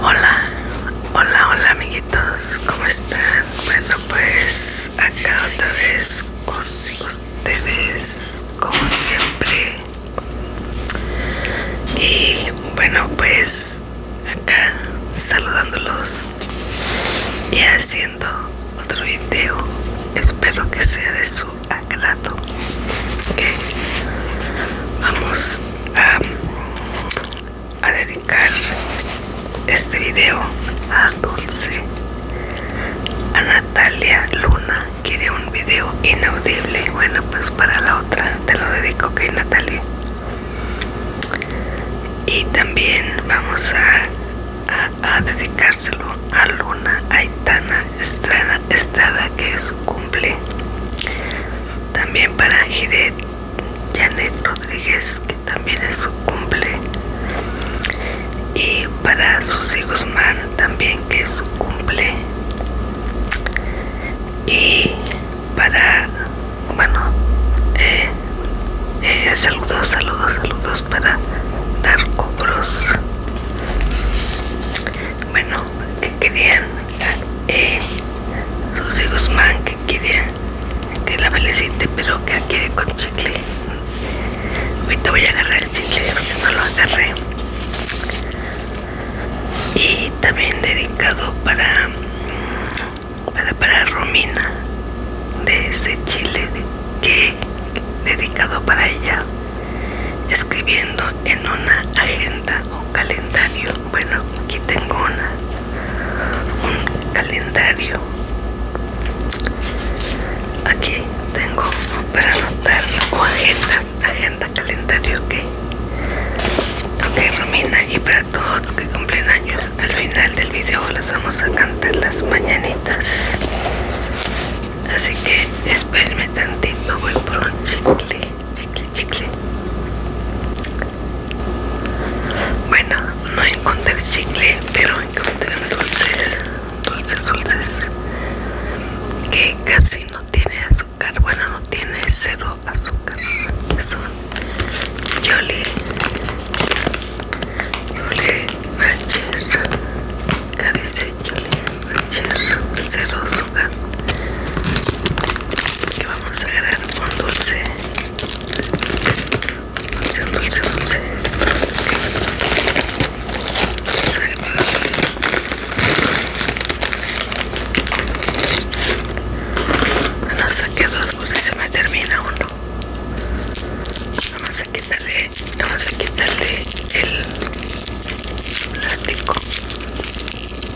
Hola, hola, hola amiguitos, ¿cómo están? Bueno, pues acá otra vez con ustedes, como siempre. Y bueno, pues acá saludándolos y haciendo otro video. Espero que sea de su agrado. Vamos a, dedicar este video a Dulce. A Natalia Luna quiere un video inaudible. Bueno, pues para la otra te lo dedico, que Natalia. Y también vamos a, a, dedicárselo a Luna Aitana Estrada, Estrada que es su cumple. También para Jared, Janet Rodríguez, que también es su cumple. Y para Susi Guzmán, también que es su cumple. Y para, bueno, eh, eh, saludos, saludos, saludos para dar cobros Bueno, que querían eh, hijos Guzmán que quería que la felicite pero que adquiere quiere con chicle ahorita voy a agarrar el chile porque no lo agarré y también dedicado para para, para Romina de ese chile que dedicado para ella escribiendo en una agenda o calendario bueno aquí tengo una un calendario aquí tengo para anotar o agenda agenda calendario ok ok Romina y para todos que cumplen años al final del video las vamos a cantar las mañanitas así que espérenme tantito voy por un chicle chicle, chicle, Bueno, no encontré chicle, pero encontré dulces, dulces, dulces, que casi no tiene azúcar. Bueno, no tiene cero azúcar. Son YOLI, YOLI, Rancher. Acá dice Jolly Rancher, cero vamos a agregar un dulce dulce dulce dulce vamos a agregar no saqué dos porque se me termina uno vamos a quitarle vamos a quitarle el plástico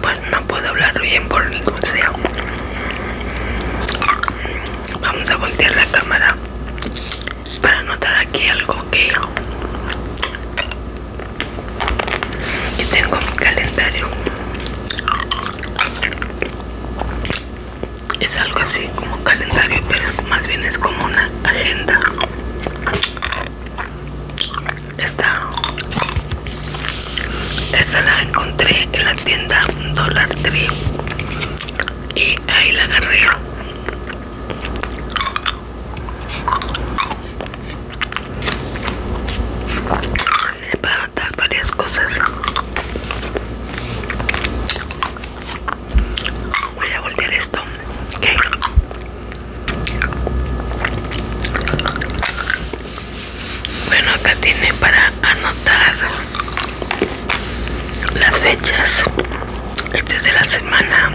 Pues no puedo hablar bien por el sea. Vamos a voltear la cámara para notar aquí algo que, tengo mi calendario. Es algo así como calendario, pero es, más bien es como una agenda. Esta, esta la encontré en la tienda Dollar Tree y ahí la agarré. Para notar varias cosas. Voy a voltear esto. Bueno, acá tiene para anotar las fechas. Este es de la semana.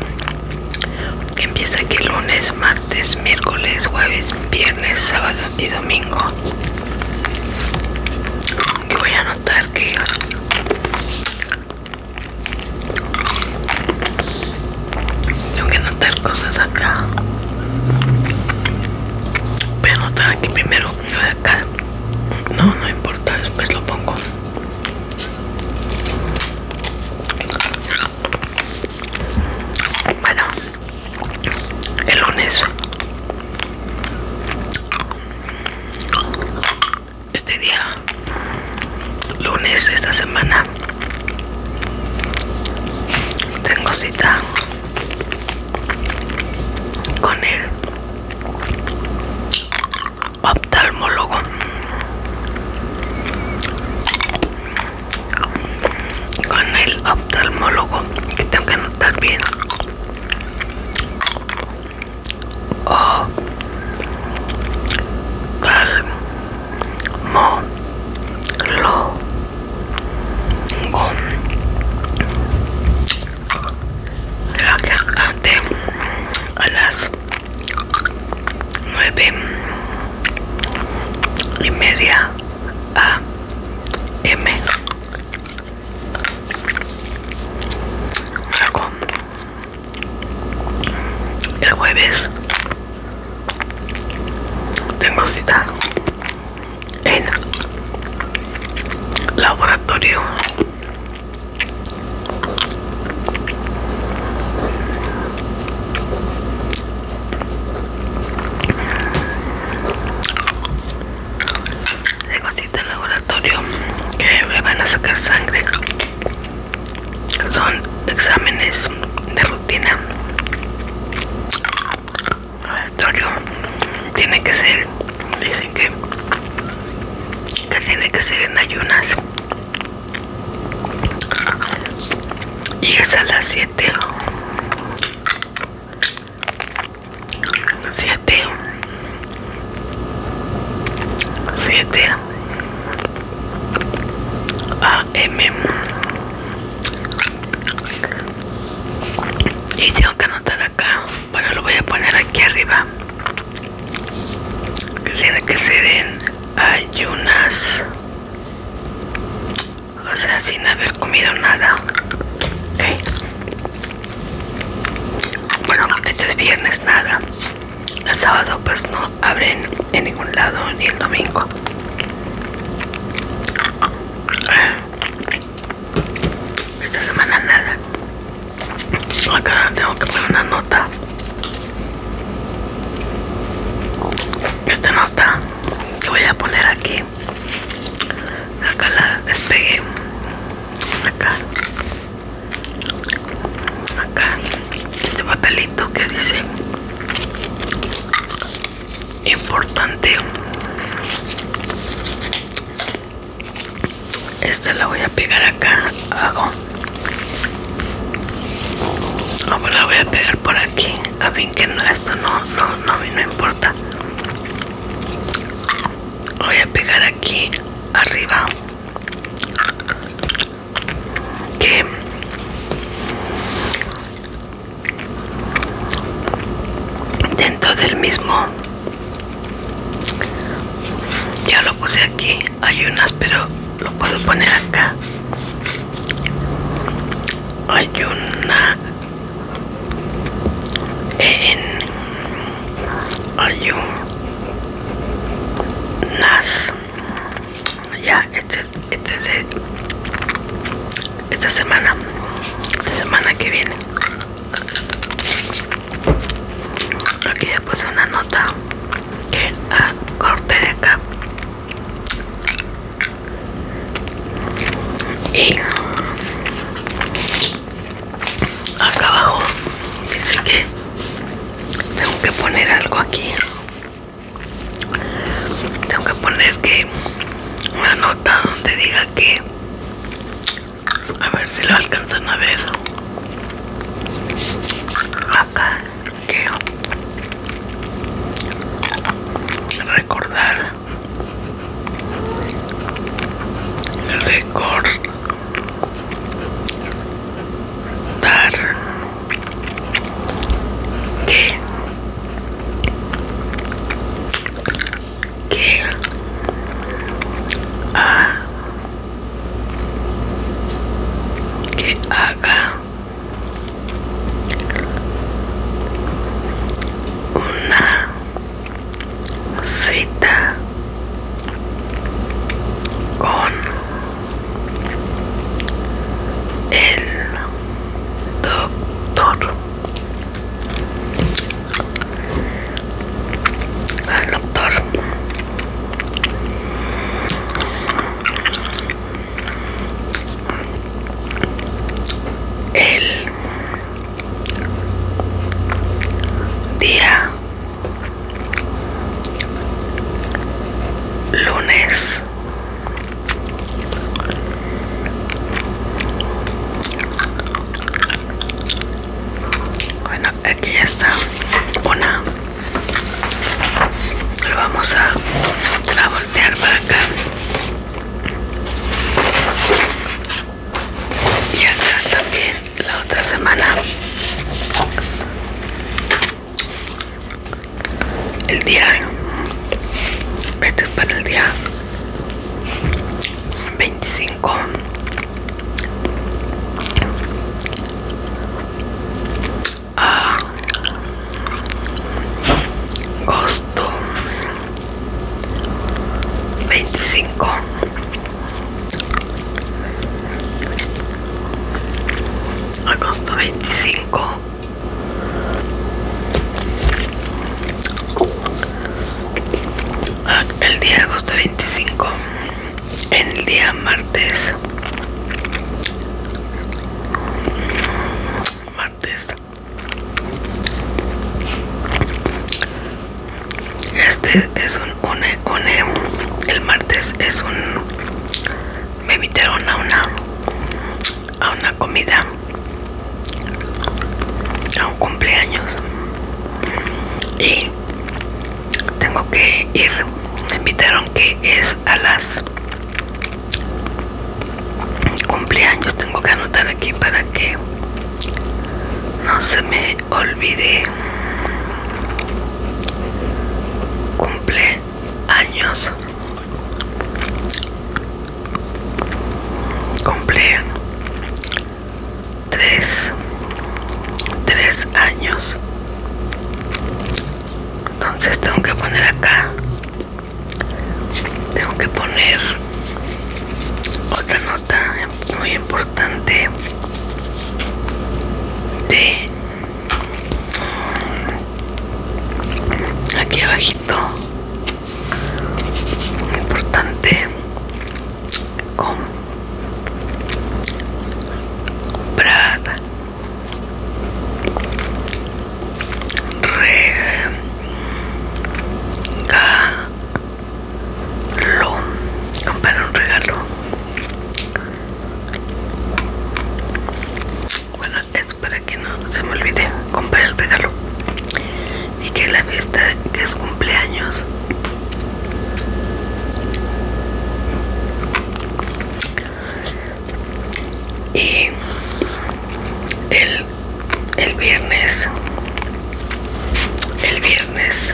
que Empieza aquí lunes, martes, miércoles, jueves, viernes, sábado y domingo. Y voy a anotar que tengo que notar cosas acá. Voy a anotar aquí primero acá. No, no importa, después lo pongo. Bueno, el lunes. Este día lunes esta semana tengo cita con el oftalmólogo con el oftalmólogo que tengo que notar bien Mo Lo Gon La cantante a las nueve y media a M luego el jueves tengo cita en laboratorio tengo cita en laboratorio que me van a sacar sangre son exámenes de rutina tiene que ser dicen que que tiene que ser en ayunas y es a las 7 7 7 AM y tengo que anotar acá bueno lo voy a poner aquí arriba tiene que ser en ayunas o sea sin haber comido nada bueno este es viernes nada el sábado pues no abren en ningún lado ni el domingo esta semana nada acá tengo que poner una nota esta nota que voy a poner aquí acá la despegué acá acá este papelito que dice importante esta la voy a pegar acá hago no pues la voy a pegar por aquí a fin que no, esto no no no a no importa voy a pegar aquí arriba que dentro del mismo ya lo puse aquí hay unas pero lo puedo poner acá hay una en hay unas ya este este de esta semana, esta semana que viene, aquí ya puse una nota que corte de acá y acá abajo dice que tengo que poner algo aquí tengo que poner que una nota donde diga que a ver si lo alcanzan a ver acá que recordar recordar que haga una cita con el doctor doctor el día lunes bueno aquí ya está una lo vamos a, a voltear para acá y acá también la otra semana el diario este es para el día 25 a ah, agosto 25 Agosto 25 ah, El día de agosto 25 El día martes Martes Este es un une, une El martes es un me invitaron a una a una comida a un cumpleaños y tengo que ir me invitaron que es a las cumpleaños tengo que anotar aquí para que no se me olvide cumple años cumple tres tres años entonces tengo que poner acá tengo que poner otra nota muy importante de aquí abajito importante comprar regalo comprar un regalo bueno, es para que no se me olvide comprar el regalo y que la fiesta es cumpleaños y el, el viernes el viernes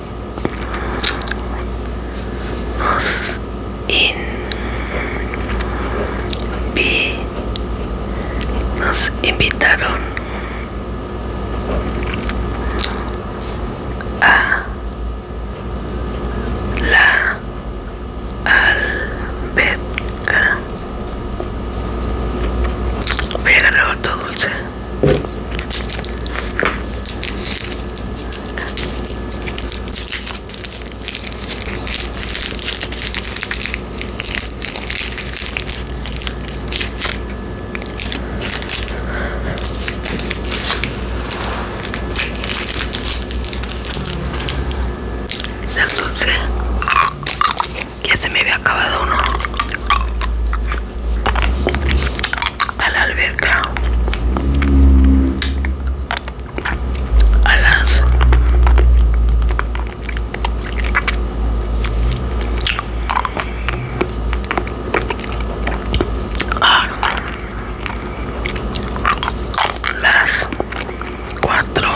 nos nos invitaron a la alberca voy a agarrar todo dulce las 11 ya se me había acabado uno a la alberca a las a las cuatro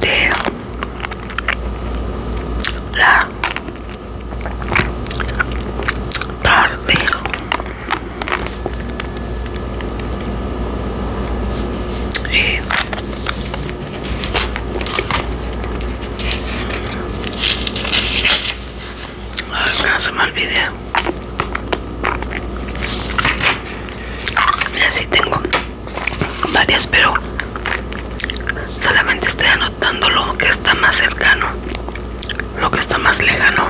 de la tarde y no se me vídeo, y así tengo varias pero solamente estoy Dándolo lo que está más cercano, lo que está más lejano.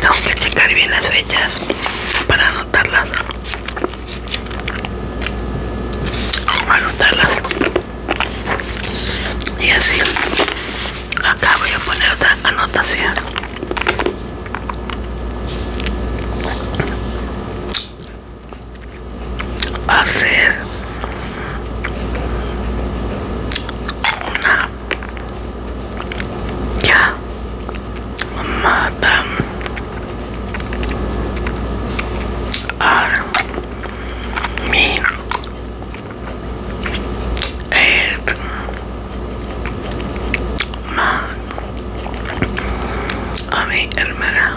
Tengo que checar bien las fechas para anotarlas. Anotarlas. Y así. Acá voy a poner otra anotación hacer una ya mata a mi hermana a mi hermana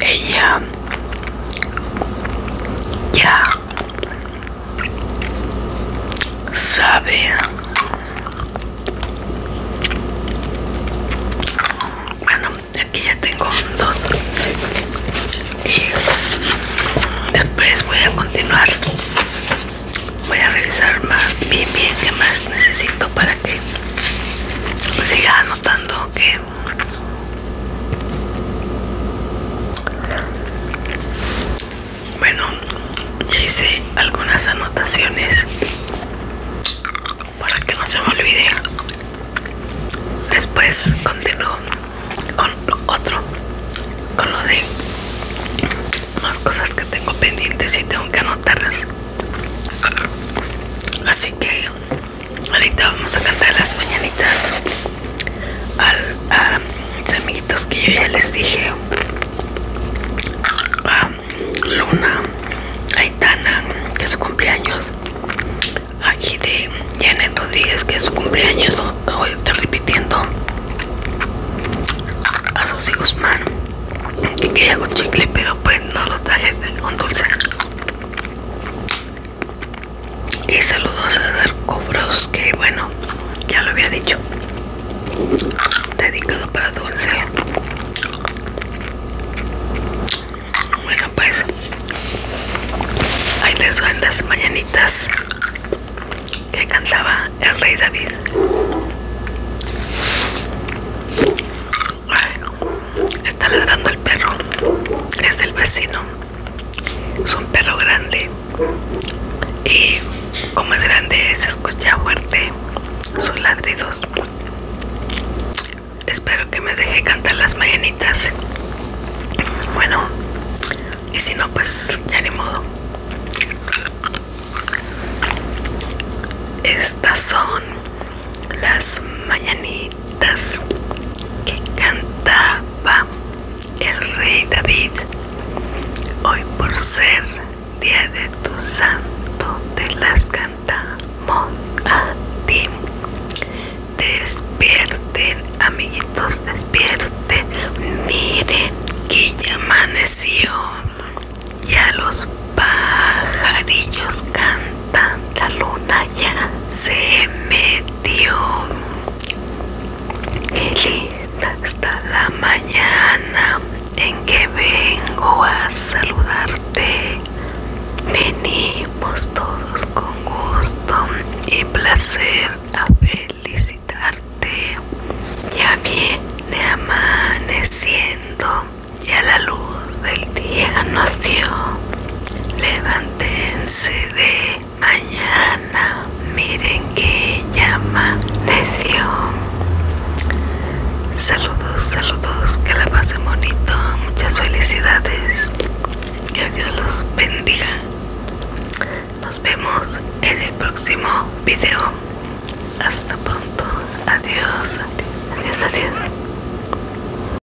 ella ya sabe bueno aquí ya tengo dos y después voy a continuar voy a revisar más bien bien que más necesito para que siga anotando que bueno, ya hice algunas anotaciones para que no se me olvide. Después continúo con otro, con lo de más cosas que tengo pendientes y tengo que anotarlas. Así que ahorita vamos a cantar las mañanitas a mis amiguitos que yo ya les dije a Luna Aitana que es su cumpleaños aquí de Janet Rodríguez que es su cumpleaños hoy estoy repitiendo a hijos Guzmán que quería con chicle pero pues no lo traje con dulce y saludos a dar cobros que bueno ya lo había dicho dedicado para dulce bueno pues ahí les van las mañanitas que cansaba el rey David bueno Está ladrando el perro. Es del vecino. Es un perro grande. Y como es grande se escucha fuerte sus ladridos. Espero que me deje cantar las mañanitas. Bueno, y si no, pues ya ni modo. Estas son las mañanitas que cantaba el rey David hoy por ser día de tu santo te las cantamos a ti despierten amiguitos despierten miren que ya amaneció ya los pajarillos cantan la luna ya se metió Hasta linda la mañana en que vengo a saludarte Venimos todos con gusto y placer a felicitarte Ya viene amaneciendo ya la luz del día nació levantense Levántense de mañana, miren que llama necio. Saludos, saludos, que la pasen bonito, muchas felicidades, que Dios los bendiga. Nos vemos en el próximo video. Hasta pronto, adiós, adiós, adiós.